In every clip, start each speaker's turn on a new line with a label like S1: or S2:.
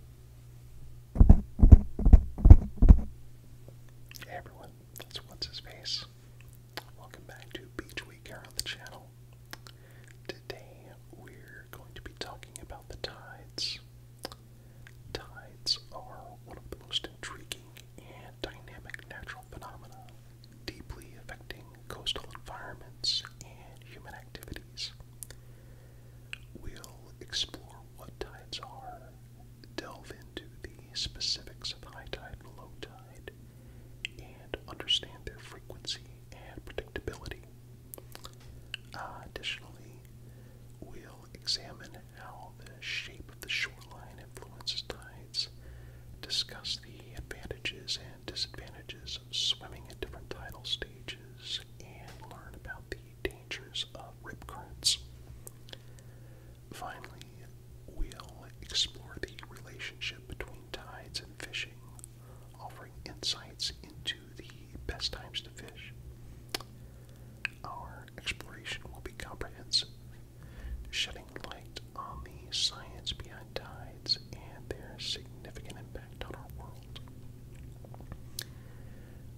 S1: Hey everyone, that's What's His Face. Welcome back to Beach Week here on the channel. Today we're going to be talking about the tides. Tides are one of the most intriguing and dynamic natural phenomena, deeply affecting coastal environments and human activities. We'll explore what tides are, delve into the specifics of high tide and low tide, and understand their frequency and predictability. additionally, we'll examine how the shape of the shoreline influences tides, discuss the advantages and disadvantages of swimming at different tidal stages, and learn about the dangers of rip currents. Finally, we'll explore the relationship between tides and fishing, offering insights into the best times to fish. Our exploration will be comprehensive, shedding light on the science behind tides and their significant impact on our world.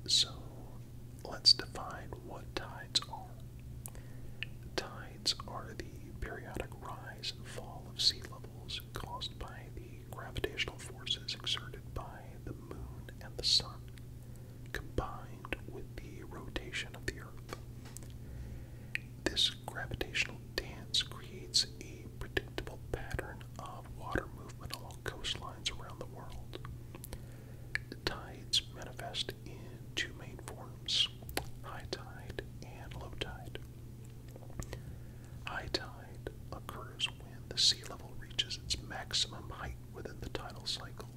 S1: So let's define what tides are. Tides are the periodic rise and fall of sea levels caused by the gravitational forces exerted by the moon and the sun, combined with the rotation of the earth. This gravitational dance creates a predictable pattern of water movement along coastlines around the world. Tides manifest in two main forms high tide and low tide. High tide occurs when the sea level reaches its maximum height within the tidal cycle.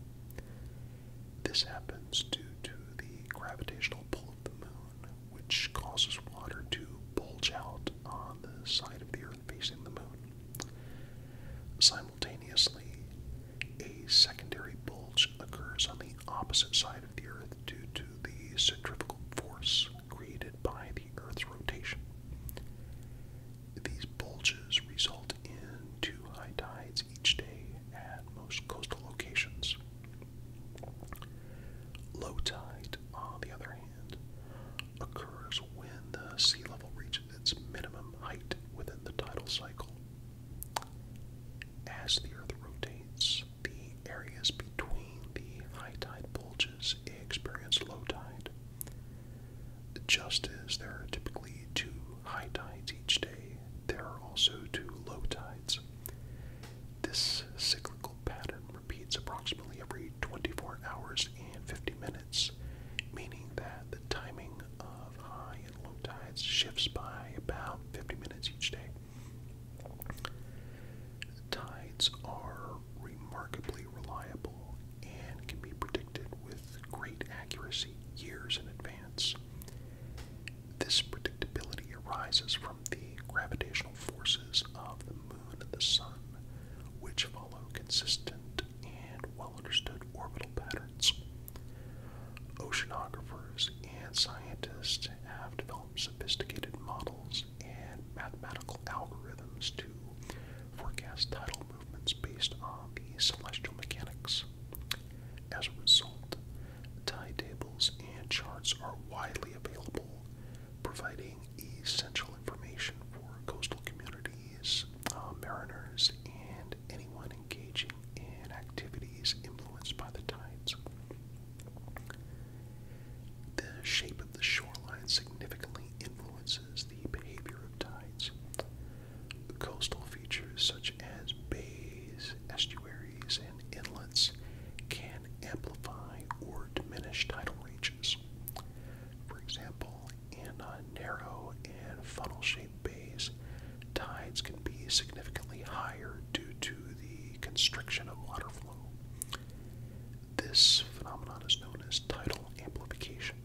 S1: This happens due to the gravitational pull of the moon, which causes water to bulge out on the side of the earth facing the Moon. Simultaneously, a secondary bulge occurs on the opposite side of the Earth due to the centrifugal force created by the Earth's rotation. These bulges result in two high tides each day at most coastal locations. Low tide, on the other hand, occurs when the sea level reaches its minimum height within the tidal cycle. As the Earth rotates, the areas between the high tide bulges experience low tide. Just as there are typically two high tides each day, there are also two low tides. This cyclical pattern repeats approximately every 24 hours and 50 minutes meaning that the timing of high and low tides shifts by about 50 minutes each day. Tides are remarkably reliable and can be predicted with great accuracy years in advance. This predictability arises from the gravitational forces of the moon and the sun, which follow consistent and well understood orbital patterns. Oceanographers and scientists have developed sophisticated models and mathematical algorithms to forecast tidal movements based on the celestial mechanics. As a result, tide tables and charts are widely available, providing essential information for coastal communities, uh, mariners, and anyone engaging in activities influenced by the tides. The shape of the shoreline significantly influences the behavior of tides. Coastal features such as bays, estuaries, and inlets can amplify or diminish tidal ranges. For example, in narrow and funnel-shaped bays, tides can be significantly higher due to the constriction of water flow. This phenomenon is known as tidal amplification.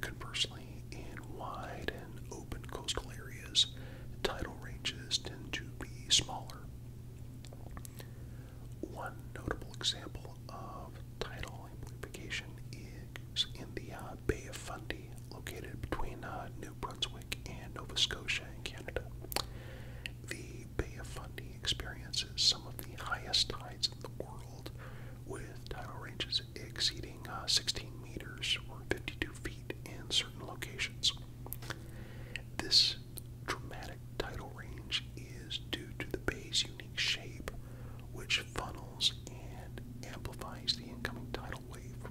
S1: Conversely, in wide and open coastal areas, tidal ranges tend to be smaller. One notable example of tidal amplification is in the uh, Bay of Fundy, located between uh, New Brunswick and Nova Scotia in Canada. The Bay of Fundy experiences some of the highest tides in the world, with tidal ranges exceeding uh, 16 meters or 52 feet in certain locations. This dramatic tidal range is due to the bay's unique shape, which funnels and amplifies the incoming tidal wave.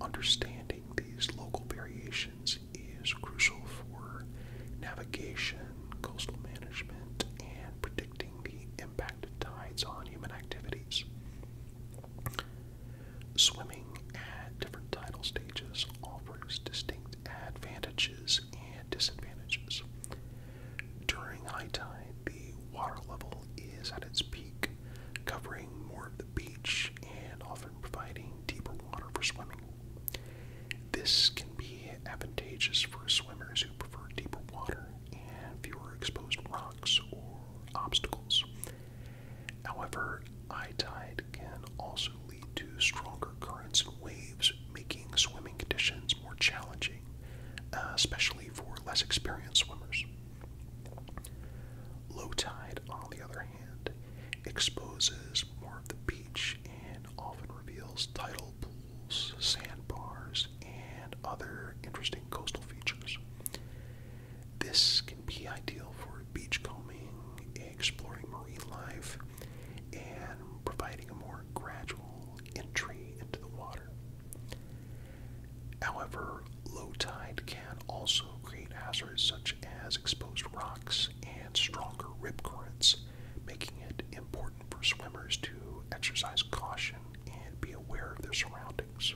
S1: Understanding these local variations is crucial for navigation, coastal management, and predicting the impact of tides on human activities. Swimming at different tidal stages offers distinct advantages and disadvantages. During high tide, the water level is at its peak, covering more of the beach and often providing deeper water for swimming. This can be advantageous for swimmers who prefer deeper water and fewer exposed rocks or obstacles. However, high tide can also lead to stronger currents and waves, making swimming conditions more challenging, uh, especially for less experienced swimmers. Low tide, on the other hand, exposes more of the beach and often reveals tidal pools, sandbars, and other interesting coastal features. This can be ideal for beachcombing, exploring marine life, and providing a more gradual entry into the water. However, low tide can also create hazards such as exposed rocks and stronger rip currents, making it important for swimmers to exercise caution and be aware of their surroundings.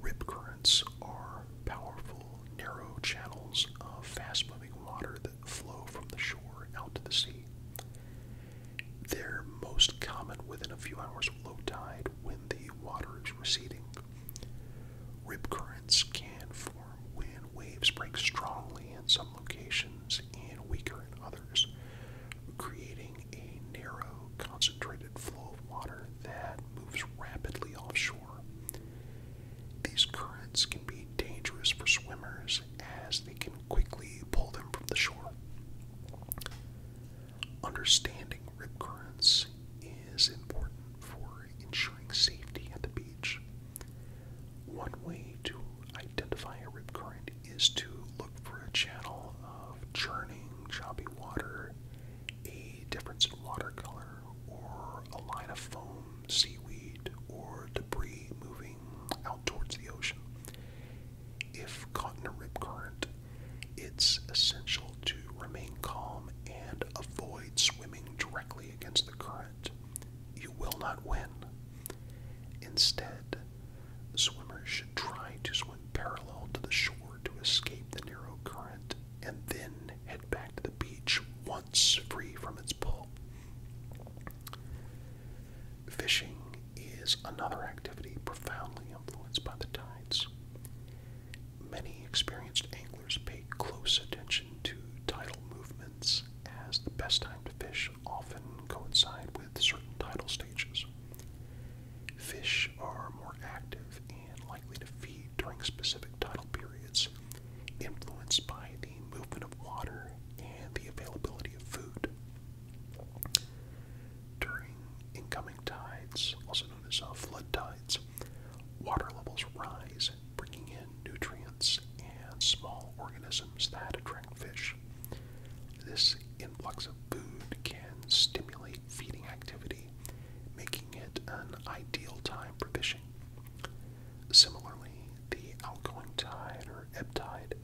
S1: Rip currents are powerful, narrow channels of fast moving water flow from the shore out to the sea. They're most common within a few hours of low tide when the water is receding. Rip currents can form when waves break strongly in some locations and weaker in others, creating a narrow, concentrated flow of water that moves rapidly offshore. These currents can be dangerous for swimmers as they can quickly pull them from the shore. Understanding rip currents is important for ensuring safety at the beach. One way to identify a rip current is to look for a channel of churning, choppy water, a difference in water color, or a line of foam seaweed or debris moving out towards the ocean. If caught in a rip current, it's essential to remain calm and avoid swimming directly against the current. You will not win. Instead, swimmers should try to swim parallel to the shore to escape the narrow current and then head back the beach once free from its pull. Fishing is another activity profoundly influenced by the tides. Many experienced anglers pay close attention to tidal movements as the best time to fish often coincide with certain tidal stages. Fish are more active and likely to feed during specific tidal periods, influenced by the movement of water and the availability of food. During incoming tides, also known as uh, flood tides, water levels rise, bringing in nutrients and small organisms that attract fish. This influx of food can stimulate feeding activity, making it an ideal time for fishing. Similarly, the outgoing tide or ebb tide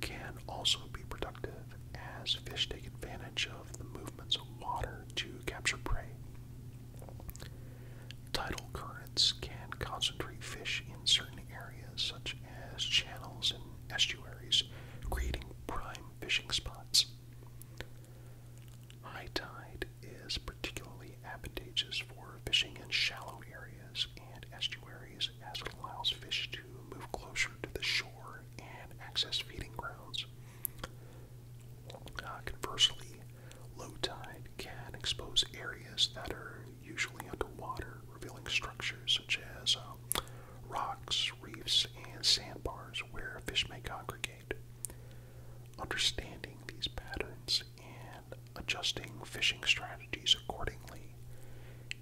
S1: can also be productive as fish take advantage of the movements of water to capture prey. Tidal currents can concentrate fish in certain areas, such as channels and estuaries, creating prime fishing spots. High tide is particularly advantageous for fishing in shallow areas and estuaries as it allows fish to move closer to the shore and access feeding grounds. Uh, conversely, low tide can expose areas that are usually underwater, revealing structures such as um, rocks, reefs, and sandbars where fish may congregate. Understanding these patterns and adjusting fishing strategies accordingly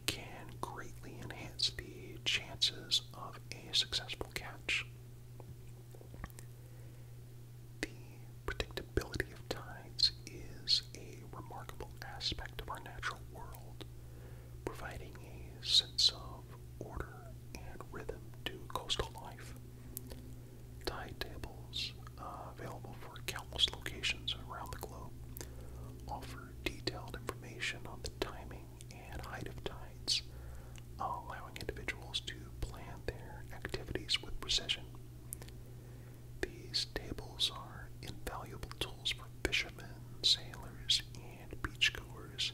S1: can greatly enhance the chances of a successful catch. The predictability of tides is a remarkable aspect of our natural world, providing a sense of order and rhythm to coastal life. Thai tables uh, available for countless locations around the globe offer detailed information on the timing and height of tides, uh, allowing individuals to plan their activities with precision. These tables are invaluable tools for fishermen, sailors, and beachgoers,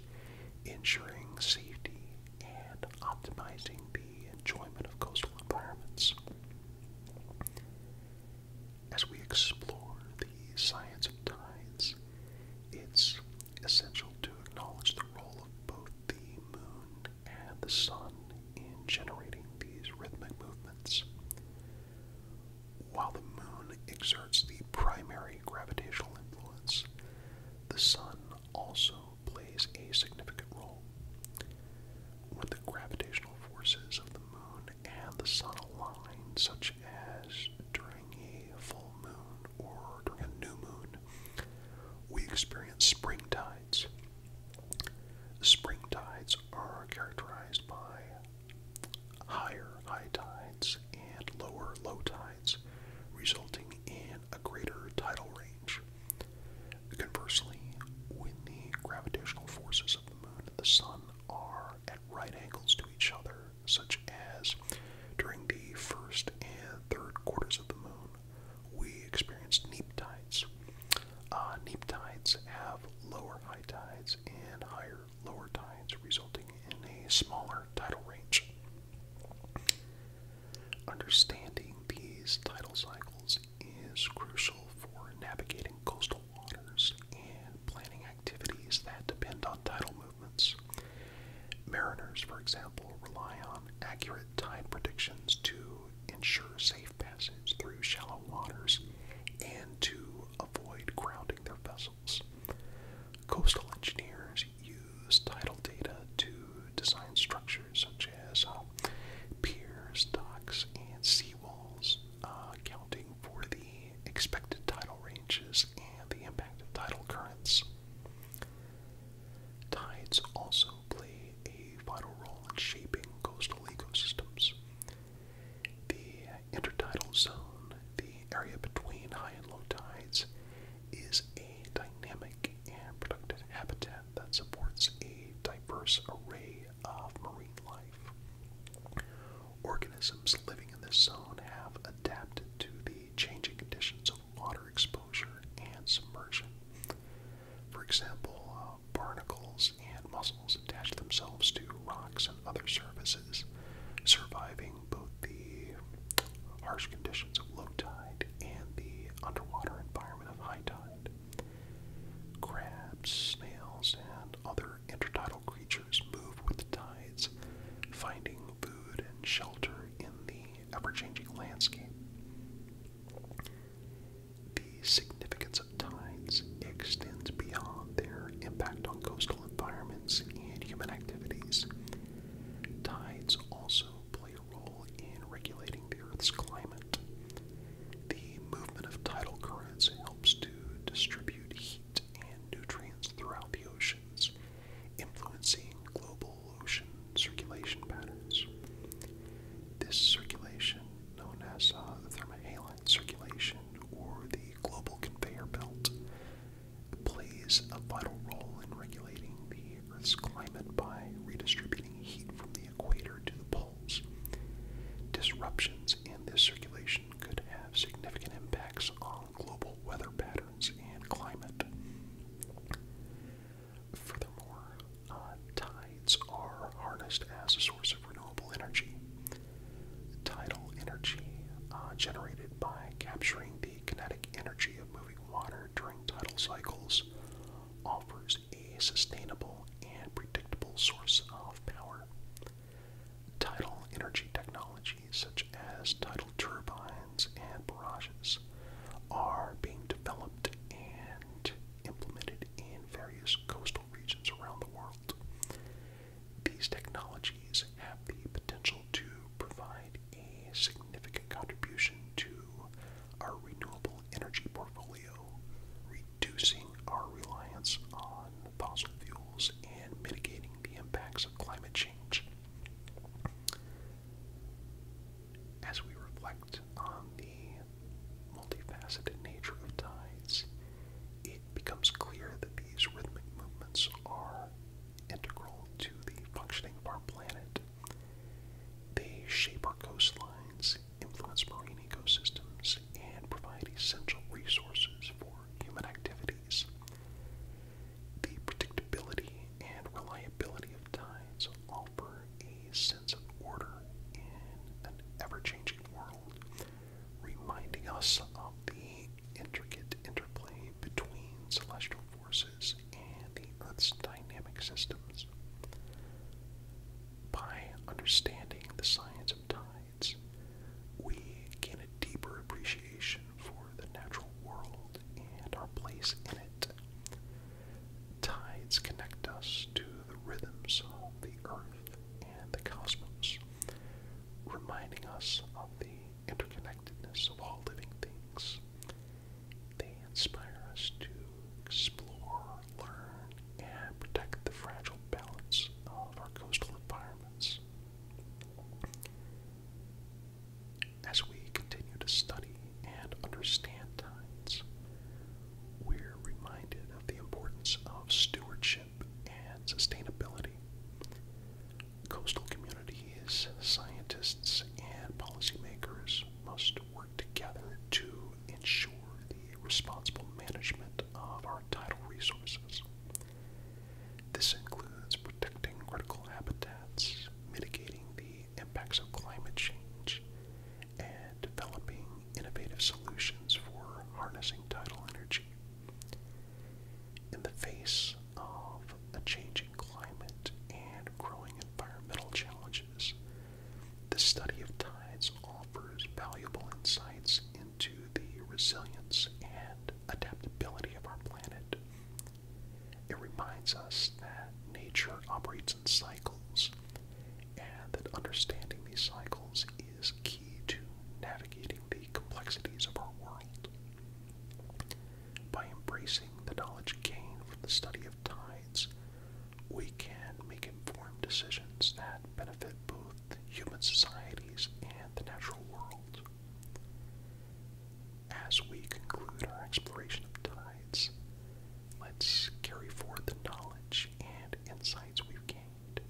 S1: ensuring safety and optimizing the the enjoyment of coastal environments. As we explore the science of tides, it's essential to acknowledge the role of both the moon and the sun in generating these rhythmic movements. While the moon exerts the primary gravitational influence, the sun also plays a significant role. When the gravitational forces of the moon and the sun align, such as during a full moon or during a new moon, we experience spring tides. Spring tides are characterized by higher high tides and lower low tides, resulting in a greater tidal range. Conversely, when the gravitational forces of the moon and the sun are at right angles to each other, such as during the first and third quarters of the moon, we experience neap tides. Uh, neap tides have lower high tides and higher lower tides, resulting in a smaller tidal range. Understanding these tidal cycles is crucial for navigating coastal waters and planning activities that depend on tidal movements. Mariners, for example, rely on accurate tide predictions to ensure safe passage through shallow waters and to avoid grounding their vessels. Coastal engineers use tidal data to design structures such um, as piers, docks, and seawalls, accounting uh, for the expected tidal ranges and the impact of tidal currents. Tides also play a vital role in shaping coastal ecosystems. The intertidal zone, the area between high and low tides, is a dynamic and productive habitat that supports a diverse array of marine life. Organisms living in this zone have adapted to the changing conditions of water exposure and submersion. For example, uh, barnacles and mussels attach themselves to rocks and other surfaces, surviving both the harsh conditions of low tide and the underwater environment of high tide. Crabs, snails, and other intertidal creatures move with the tides, finding food and shelter in the ever changing landscape. The significance of tides extends beyond their impact on coastal environments and human activities. Tides also play a role in regulating the Earth's climate. The movement of tidal currents helps to distribute heat and nutrients throughout the oceans, influencing global ocean circulation patterns. This circulation, known as uh, the thermohaline circulation or the global conveyor belt, plays a vital role in regulating the Earth's climate by redistributing heat from the equator to the poles. Disruptions in this circulation could have significant impacts on global weather patterns and climate. Furthermore, uh, tides are harnessed as a source of renewable energy. Tidal energy uh, generated by capturing the kinetic energy of moving water during tidal cycles offers a sustainable and predictable source of power. Tidal energy technologies such as tidal turbines and barrages are being developed and implemented in various coastal regions around the world. These technologies have the potential to provide a significant contribution to our renewable energy portfolio, reducing our reliance on fossil fuels and mitigating the impacts of climate change. As we reflect on the multifaceted nature of tides, it becomes clear that these rhythmic movements are integral to the functioning of our planet. They shape our coastlines influence marine ecosystems, and provide essential resources for human activities. The predictability and reliability of tides offer a sense of order in an ever changing world, reminding us of the intricate interplay between celestial forces and the Earth's dynamic systems. By understanding the science of tides, we gain a deeper appreciation for the natural world and our place in it. Tides connect us to the rhythms of the earth and the cosmos, reminding us of the interconnectedness of all living things. They inspire us to explore, learn, and protect the fragile balance of our coastal environments. As we continue to study and understand tides, we're reminded of the importance of stewardship and sustainability. Coastal communities, scientists, and policymakers must work together to ensure the responsible management of our tidal resources. This includes protecting critical habitats, mitigating the impacts of climate change, and developing innovative solutions for harnessing tidal energy. In the face of a changing climate and growing environmental challenges, the study of tides offers valuable insights into the resilience and adaptability of our planet. It reminds us that nature operates in cycles and that understanding these cycles is key to navigating the complexities of our world. By embracing the knowledge gained from the study of tides, we can make informed decisions that benefit both human societies and the natural world. As we conclude our exploration of tides, let's carry forward the knowledge and insights we've gained.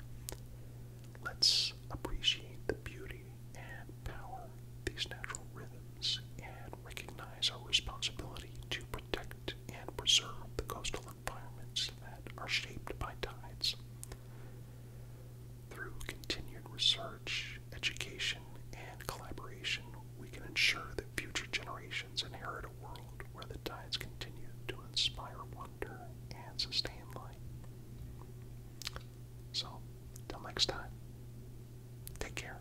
S1: Let's appreciate the beauty and power of these natural rhythms and recognize our responsibility to protect and preserve the coastal environments that are shaped by tides. Through continued research, education, and collaboration, we can ensure that future generations inherit a world where the tides continue to inspire wonder and sustain life. So, till next time, take care.